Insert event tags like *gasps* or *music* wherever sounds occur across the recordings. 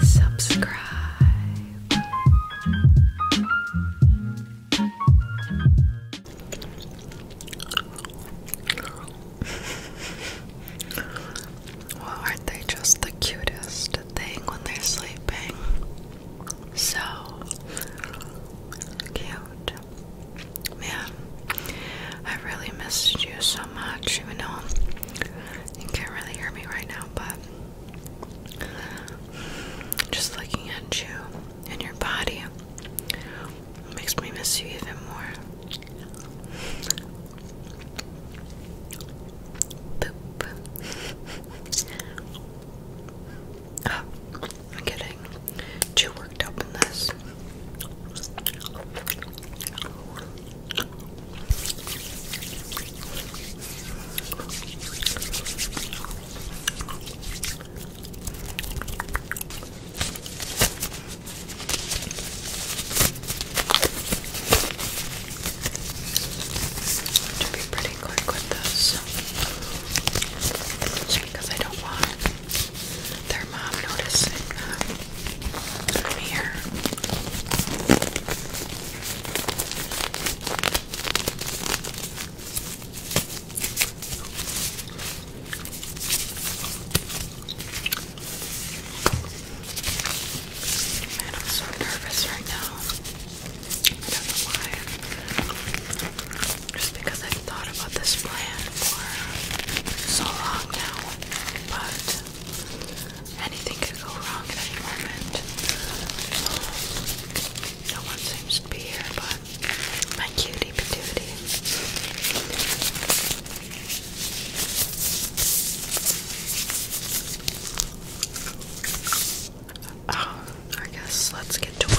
Subscribe. well, aren't they just the cutest thing when they're sleeping? So cute. Man, I really missed you so much, even though you can't really hear me right now, but just looking at you and your body makes me miss you even more. Boop. *laughs* Oh, I'm kidding too worked up in this. To be pretty quick with this, just because I don't want their mom noticing uh, I'm here. Man, I'm so nervous right now. I why. Just because I've thought about this plan for so long now, but anything could go wrong at any moment. No one seems to be here, but my cutie patootie. Oh, I guess let's get to work.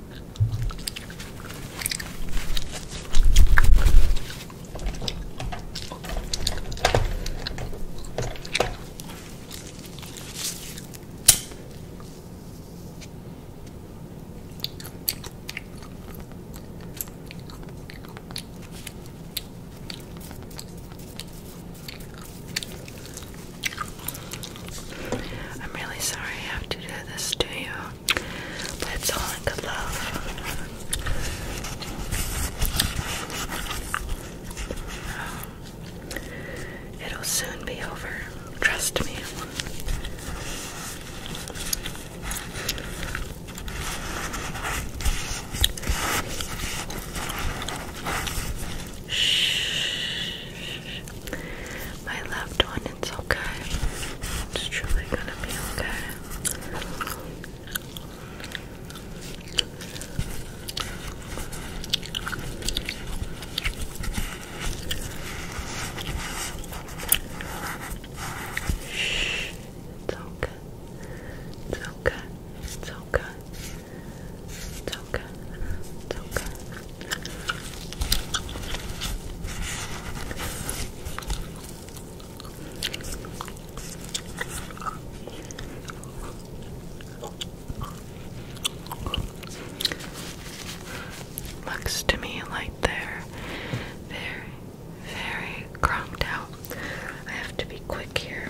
I'm really sorry I have to do this to you but it's all in good love. It'll soon be over. Trust me. Shh. My loved one it's okay. It's truly gonna be okay. Shh. It's okay. It's okay. It's okay. It's okay. It's okay. Looks to me like they're very, very crunked out. I have to be quick here.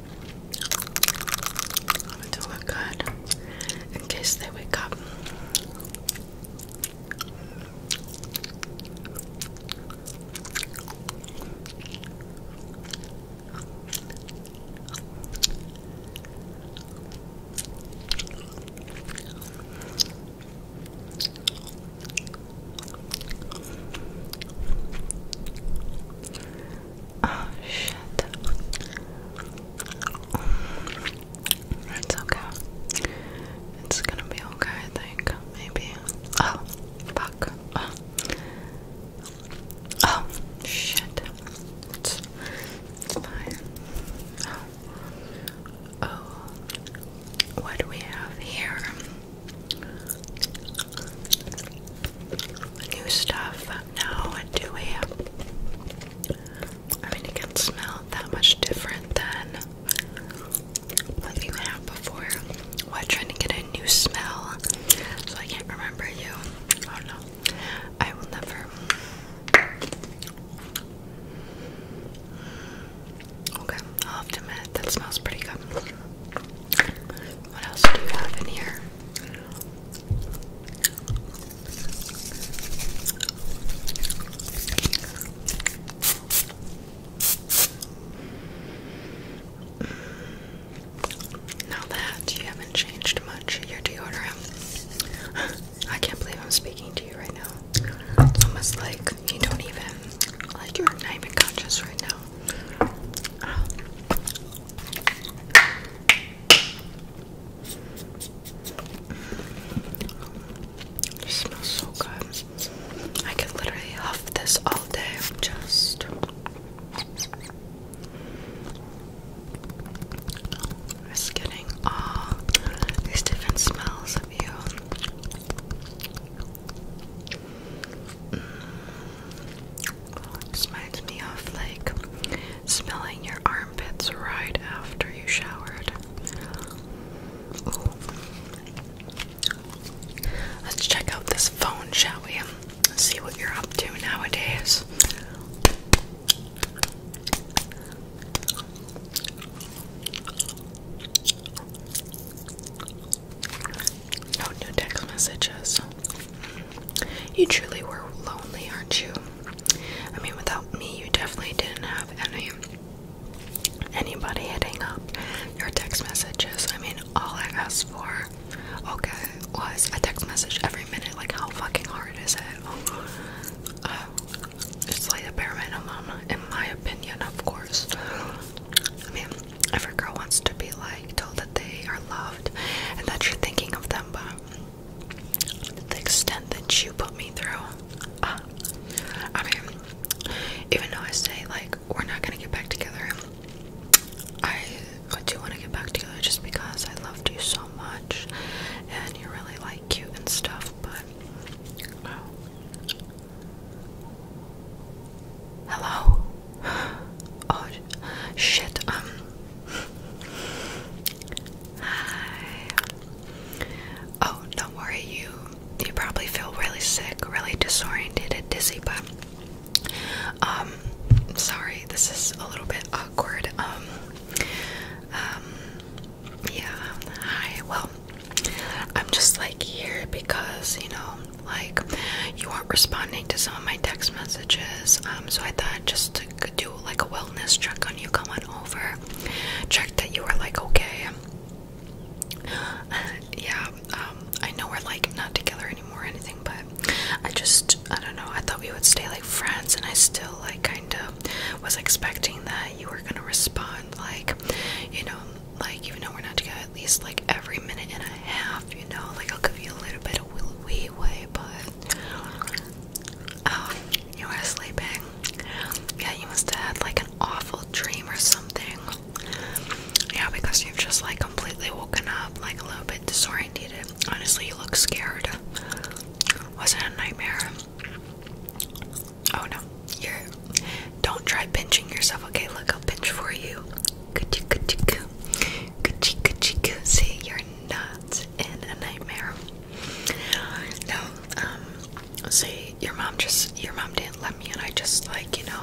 to look good in case they wake up. Oh shit. Um, it's okay. It's gonna be okay, I think. Maybe. Oh, fuck. Oh, shit. It's, fine. oh, what do we have here? new stuff now do we I mean you can smell that much different than what you have before. What trying to get a new smell so I can't remember you. Oh no. I will never Okay, I'll have to admit that smells pretty good. What else do you have in here? Mm. Now that you haven't changed much, your deodorant. *gasps* I can't believe I'm speaking to you right now. It's almost like you don't even, like you're not even conscious right now. It smells so good. I can literally huff this all day. Just. Just getting all uh, these different smells of you. This reminds me of like smelling your armpits right after you showered. Let's check out this phone, shall we? see what you're up to nowadays. No new text messages. You truly were lonely, aren't you? I mean, without me, you definitely didn't have any anybody hitting up your text messages. I mean, all I asked for, okay, was a text message every minute. Like, how fucking hard is it? Oh, it's like the bare minimum, in my opinion, of course. I mean, Every girl wants to be like told that they are loved and that you're thinking of them, but the extent that you put me through, uh, I mean, even though I say like we're not gonna get back together, I, do want to get back together just because I loved you so much and you're really like cute and stuff, but. Hello? *gasps* Oh, shit. Um. Hi. Oh, don't worry. You you probably feel really sick, really disoriented, dizzy. But um, sorry. This is a little bit awkward. Um. Um. Yeah. Hi. Well, I'm just like here because you know like, you weren't responding to some of my text messages. Um, so I thought just to do like a wellness check on you, come on over, check that you were like okay. Uh, *sighs* yeah, um, I know we're like not together anymore or anything, but I just, I don't know, I thought we would stay like friends, and I still like kind of was expecting that you were gonna respond, like, you know, like even though we're not together at least like every minute and a half, you know, like I'll give you a little bit of leeway, but um, you were sleeping. Yeah, you must have had like an awful dream or something. Yeah, because you've just like completely woken up, like a little bit disoriented. Honestly, you look scared. Was it a nightmare? Oh no, you're. Don't try pinching yourself, okay? Look, I'll pinch for you. Kuchikuchiku. See, you're not in a nightmare. No, um, see, your mom just, your mom didn't let me, and I just, like, you know,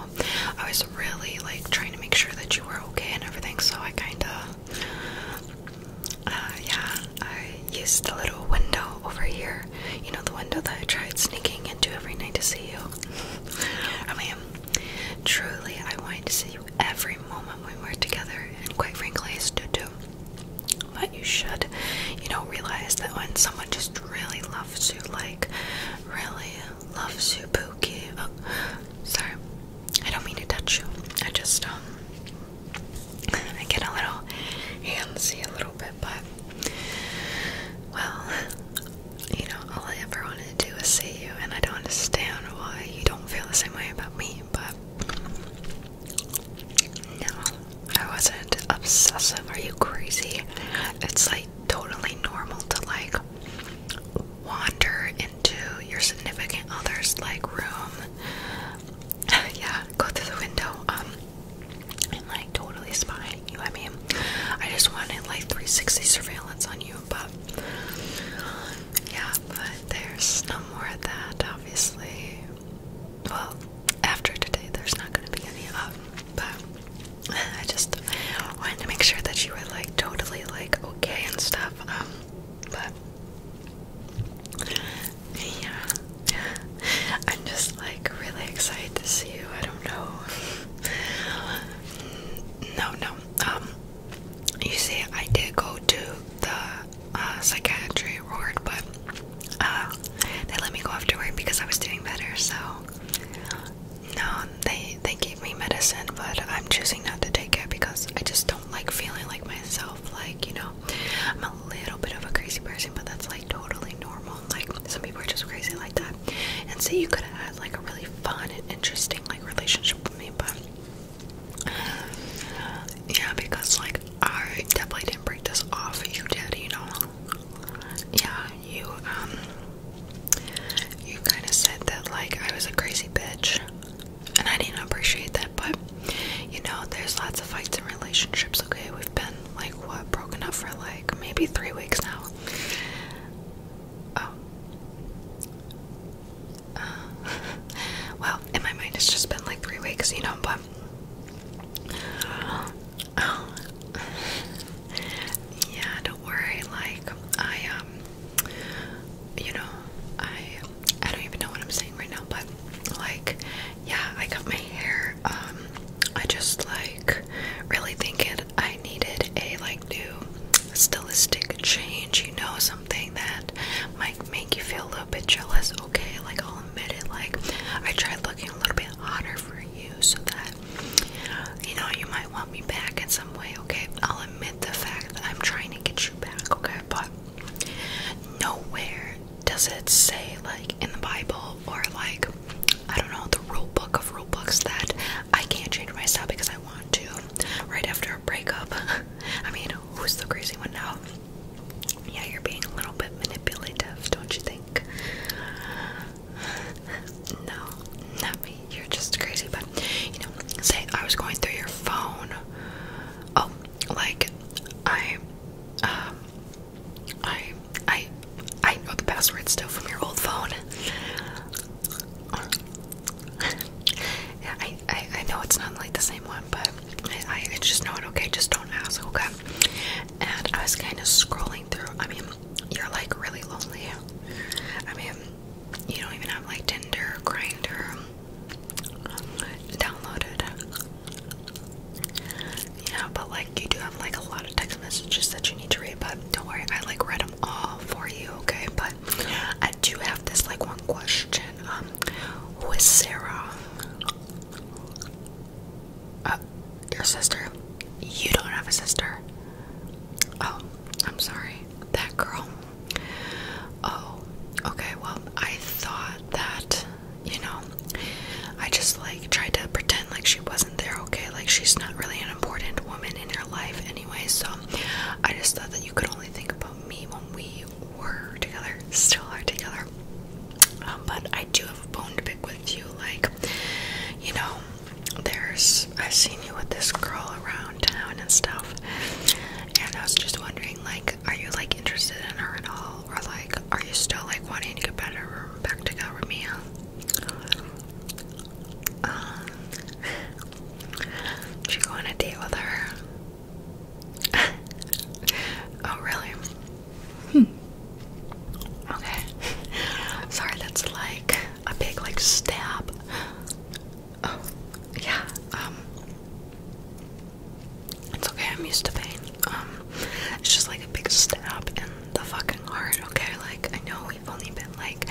I was really, like, trying to make sure that you were okay and everything, so I kinda, uh, yeah, I used the little window over here. You know, the window that I tried sneaking into every night to see you. I mean, Truly, I wanted to see you every moment we were together, and quite frankly, I still do. But you should, you know, realize that when someone just really loves you, like really loves you, Pookie. Oh, sorry, I don't mean to touch you. I just um, I get a little handsy a little bit, but well, you know, all I ever wanted to do was see you, and I don't understand why you don't feel the same way about me, but no, I wasn't obsessive. Are you crazy? It's like totally normal to like wander into your significant other's like room. *laughs* yeah, go through the window. Um, and like totally spying you. I mean, I just wanted like 360 surveillance on you but yeah, but there's no more of that, obviously. Well, after today, there's not going to be any of but *laughs* I just wanted to make sure that you were like totally like okay and stuff. Um, but yeah, *laughs* I'm just like really excited to see you. I don't know. *laughs* No, no, um, you see, I did go to the uh, psychiatry ward, but uh, they let me go afterward because I was doing better. So no, they they gave me medicine, but I'm choosing not to take it because I just don't like feeling like myself. Like you know, I'm a little bit of a crazy person, but that's like totally normal. Like some people are just crazy like that. And say so you could have had like a really fun and interesting like relationship with me, but yeah, because like I definitely didn't break this off. You did, you know. Yeah, you um you kinda said that like I was a crazy bitch. And I didn't appreciate that, but you know, there's lots of fights in relationships, okay? We've been like what broken up for like maybe three weeks now. Oh. Uh, *laughs* well, in my mind, it's just been like three weeks, you know, but. *sighs* Oh. yeah, don't worry. Like, I, um, you know, I, I don't even know what I'm saying right now, but like, yeah, I got my hair, um, I just like really think it I needed a like new stylistic change, you know, something that might make you feel a little bit jealous. Okay, like I'll admit it, like I tried looking a little bit hotter for you so that you know you might want me back in some way, okay? I'll admit the fact that I'm trying to get you back, okay, but nowhere does it say like in the Bible or like I don't know the rule book of rule books that I can't change myself because I want to right after a breakup. *laughs* I mean, who's the crazy one now? Yeah, you're being a little bit manipulative, don't you think? *sighs* No, not me. You're just crazy, but you know, say I was going through your phone. Oh, like I um I I I know the password still from your old phone yeah, I, I know it's not like the same one, but I, I just know it. Okay, just don't ask. Okay. And I was kind of scrolling through. I mean, you're like really lonely. I mean, you don't even have like Tinder, Grinder downloaded. Yeah, but like you do have like a lot of text messages that you need to read. But don't worry, I like read them all for you, okay? But I do have this like one question. Um, who is Sarah? Uh, your sister? You don't have a sister. Oh, I'm sorry. That girl. Oh, okay. Well, I thought that, you know, I just like tried to pretend like she wasn't isn't there, okay? Like, she's not really an important woman in your life anyway, so I just thought that you could only think about me when we were together, still are together. Um, but I do have a bone to pick with you, like, you know, there's, I've seen you with this girl around town and stuff, and I was just wondering, like, are you, like, interested in her at all, or, like, are you still, like, wanting to get better back together with me, did um, you go on a date with her? *laughs* oh, really? Hmm. Okay. Sorry, that's like a big, like, stab. Oh, yeah. Um, it's okay. I'm used to pain. Um, it's just like a big stab in the fucking heart. Okay, like I know we've only been like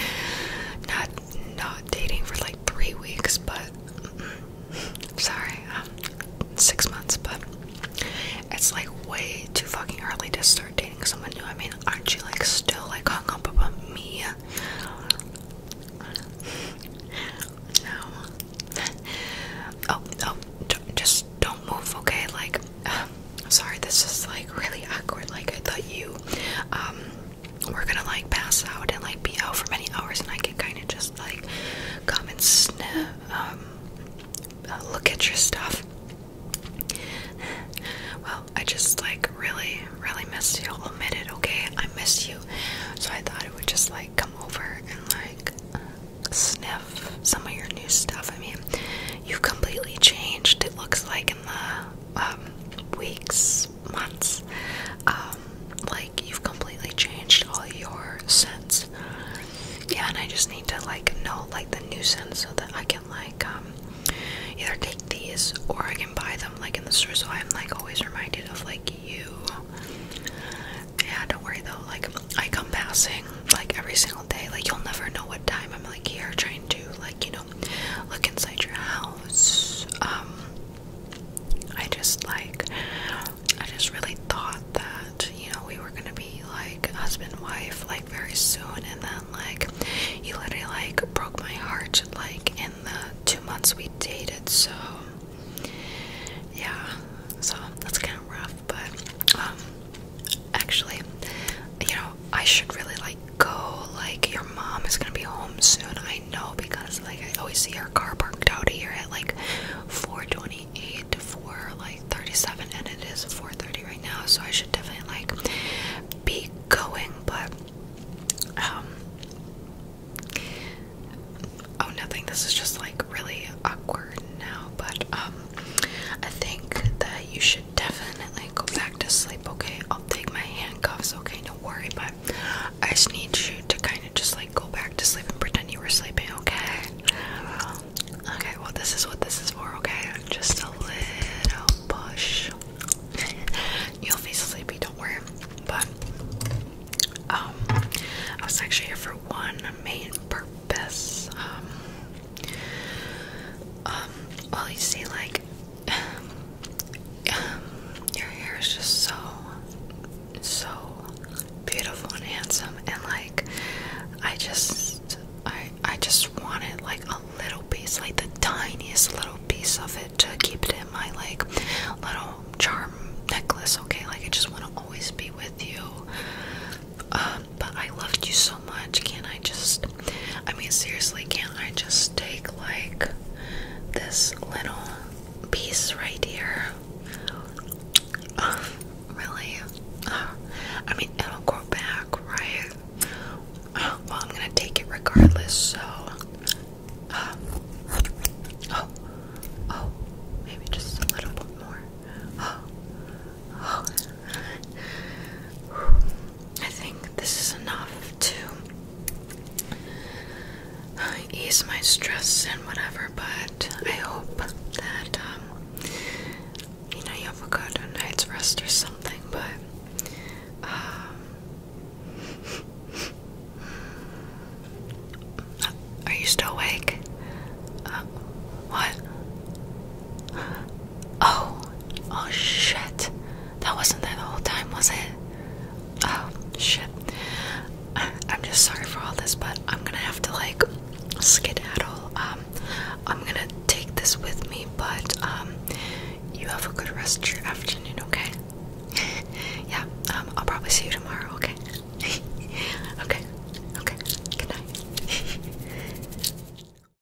not not dating for like three weeks, but mm, sorry, um, six months. But it's like way too fucking early to start dating someone new. I mean, aren't you like still like hung up about me? No. *laughs* Oh, oh, just don't move, okay? Like, um, *sighs* sorry, this is like really awkward. Like I thought you um were gonna like pass out and like be out for many hours, and I can kind of just like come and sniff, um, uh, look at your stuff. Well, I just like really, really miss you. I'll admit it, okay? I miss you. So I thought it would just like come over and like sniff some of your new stuff. I mean, you've completely changed, it looks like, in the um, weeks, months, um, like you've completely changed all your scents. Yeah, and I just need to like know like the new scents so that I can like um, either take these or I can buy them like in the store. So I'm like always reminded of like you. Yeah, don't worry though. Like I come passing like every single day. Like you'll never know what time I'm like here trying to like you know know, look inside your house. Um, I just like, I just really thought that, you know, we were gonna be like husband and wife like very soon, and then like, you literally like broke my heart like in the two months we dated, so yeah, so that's kind of rough, but um, actually, you know, I should really like go. Like, your mom is gonna be home soon. I know because like I always see her car parked out here at like 4:28 to 4 like 37, and it is 4:30 right now. So I should definitely like be going. But um, oh, nothing. This is just like really awkward now. But um, I think that you should definitely go back to sleep, okay? I'll take my handcuffs, okay? Don't worry, but I just need you to kind of just like go back to sleep and pretend you were sleeping, okay? Okay, well, this is what this is for, okay? Just a little push. *laughs* You'll be sleepy, don't worry. But, um, I was actually here for one main purpose. Um, well, you see, like, um, um, your hair is just so, so beautiful and handsome, and like, I just, I, I just wanted like a little piece, like the tiniest little piece of it, to keep it in my like little charm necklace. Okay, like I just want to always be with you. Um, but I loved you so much. Can I just I mean, seriously, can't I just take like this little piece right here? really? I mean, it'll grow back, right? well, I'm gonna take it regardless, so. oh, oh, maybe just a little bit more. Oh, oh. I think this is enough to uh, ease my stress and whatever, but I hope that, um, you know, you have a good night's rest or something, but, um, *laughs* Are you still awake? Uh, what? Oh, oh shit. That wasn't there the whole time, was it? Oh, shit. I'm just sorry for all this, but I'm gonna have to like skedaddle. Um, I'm gonna take this with me, but um, you have a good rest of your afternoon, okay? *laughs* yeah, um, I'll probably see you tomorrow, okay? *laughs* okay, okay, good night. *laughs*